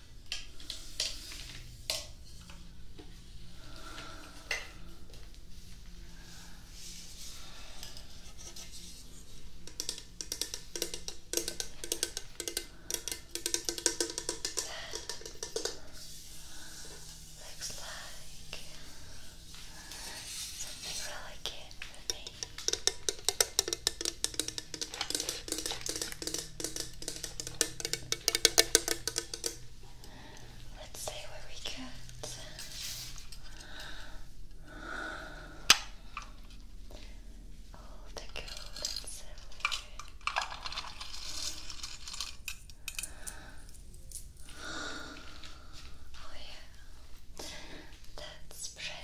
Looks like something really for me. Let's see what we get. All the gold and silver. Oh yeah, that's pretty.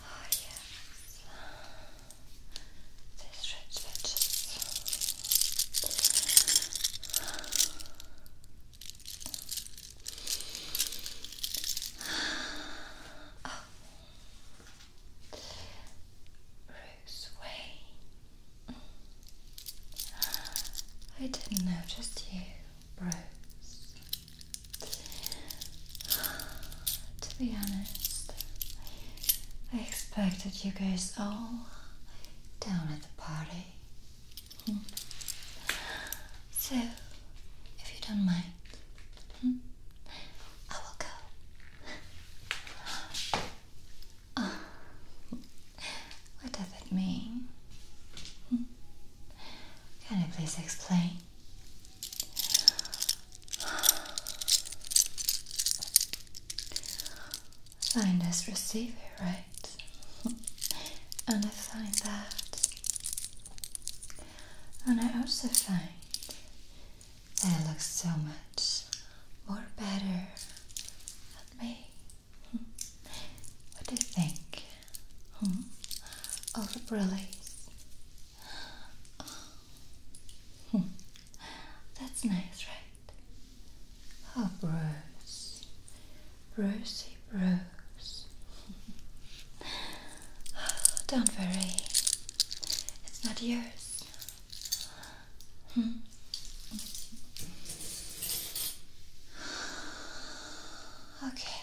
Oh, yes. These red switches. Oh, Rose Wayne. I didn't know just you, Rose. To be honest, I expected you guys all down at the party. So, if you don't mind, hmm, I will go. Uh, what does it mean? Hmm? Can you please explain? Signed as receiver, right? and I find that. And I also find it looks so much more better than me. What do you think? Hmm? Oh, the brillies. That's nice, right? Oh, Bruce. rosy Bruce. Don't worry, it's not yours. Hmm. Okay.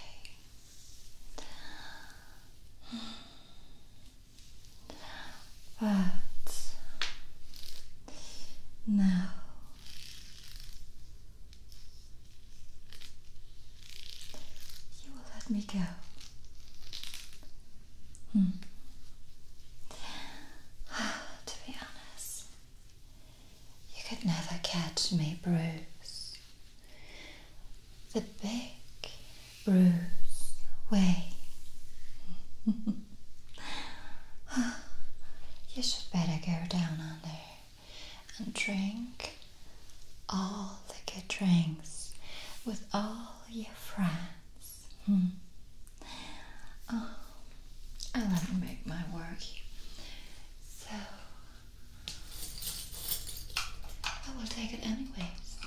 But now you will let me go. Hmm. to be honest, you could never catch me, Bruce. The big Bruce way. you should better go down under and drink all the good drinks with all your friends. Hmm. Oh, I love to make my work. So I will take it anyways.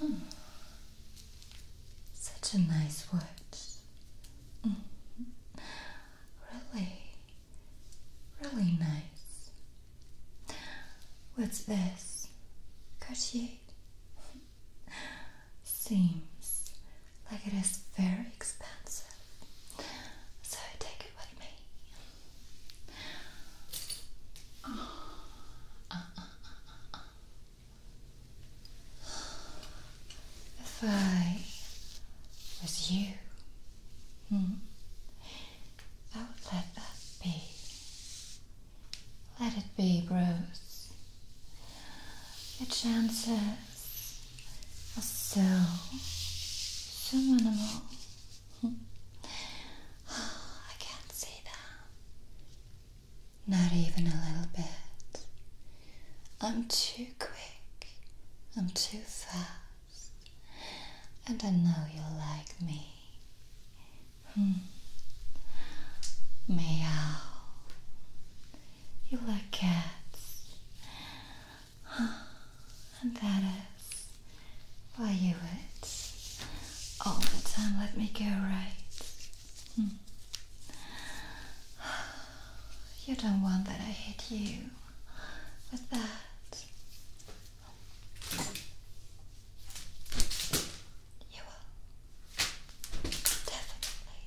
Hmm. Such a nice word. Hmm really, really nice. What's this? Cartier? Seems like it is very expensive, so take it with me. Oh, uh, uh, uh, if I was you, hmm, I would let that be. Let it be, Bruce. Your chances are so, so minimal. Hmm. I can't see them. Not even a little bit. I'm too quick. I'm too fast. And I know you'll like me. Hmm. Meow. You like cats. And that is why you would all the time let me go right you don't want that I hit you with that. You will. Definitely.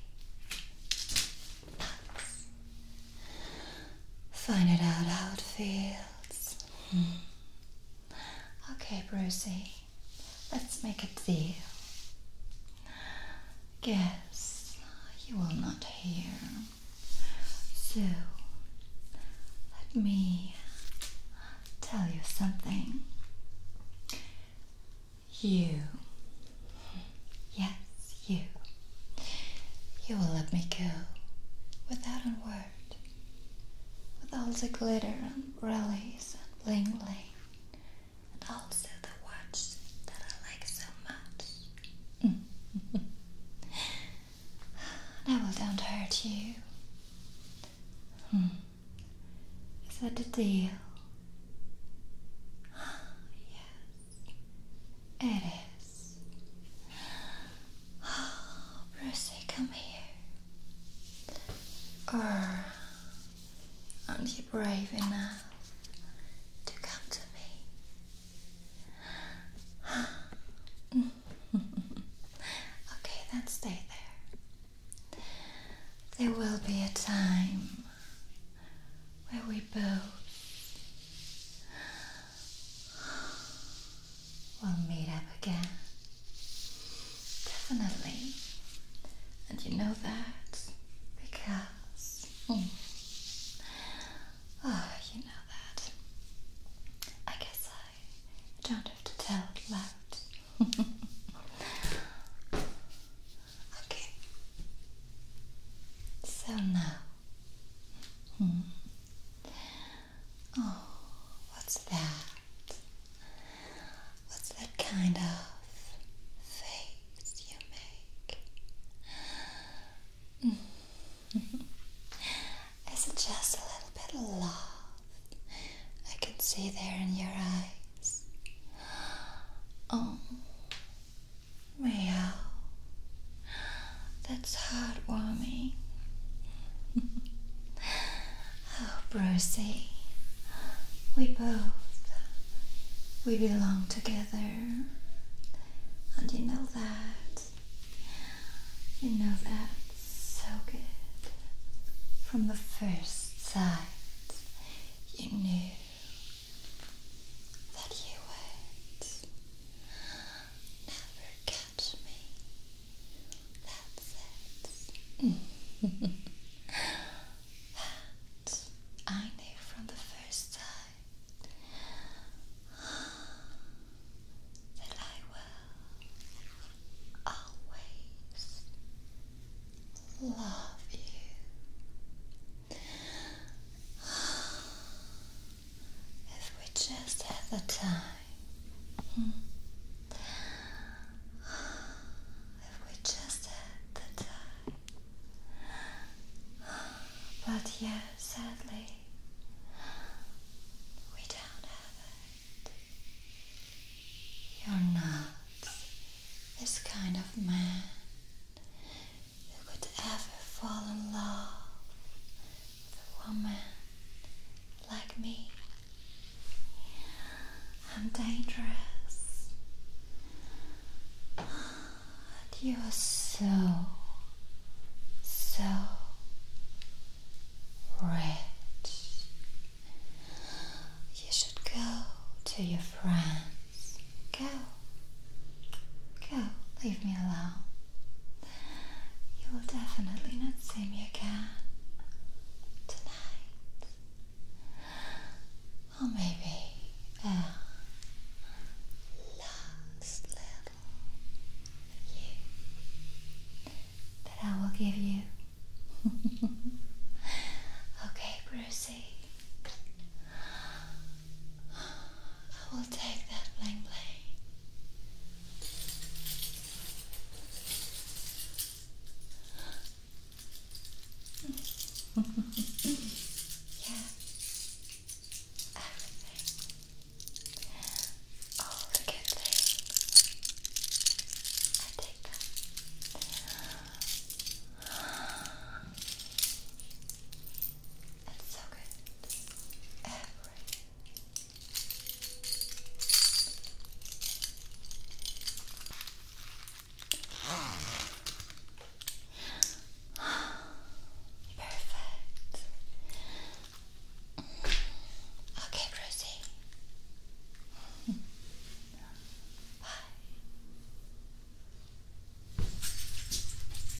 Find it out how it feels. Hmm. Okay, Brucey. Let's make a deal. Guess you will not hear. So, let me tell you something. You, yes, you, you will let me go without a word, with all the glitter and rallies and bling bling and also the watch that I like so much. That will don't hurt you. Hmm. Is that the deal? yes, it is. Brucey, come here. Or Aren't you brave enough to come to me? okay, then stay there. There will be a time where we both will meet up again. Definitely. And you know that because. oh, you know that. I guess I don't have to tell it loud. okay. So now. Hmm. Oh, what's that? What's that kind of face you make? Mm. Is it just a little bit of love I can see there in your eyes? Oh, meow. That's heartwarming. Oh, Brucey, we both, we belong together. And you know that. You know that so good. From the first sight, you knew that you would never get touch me. That's it. that I knew from the first time that I will always love you. If we just had the time. If we just had the time. But yeah, sadly, we don't have it. You're not this kind of man who could ever fall in love a woman like me. I'm dangerous. And you are so, so rich. You should go to your friends. Go. Go. Leave me alone. You will definitely not see me again tonight. Or maybe a uh, last little you that I will give you. okay, Brucey. I will take that bling yeah, everything, all the good things, I take them. It's so good. Everything right. Perfect. Okay, Rosie. Bye.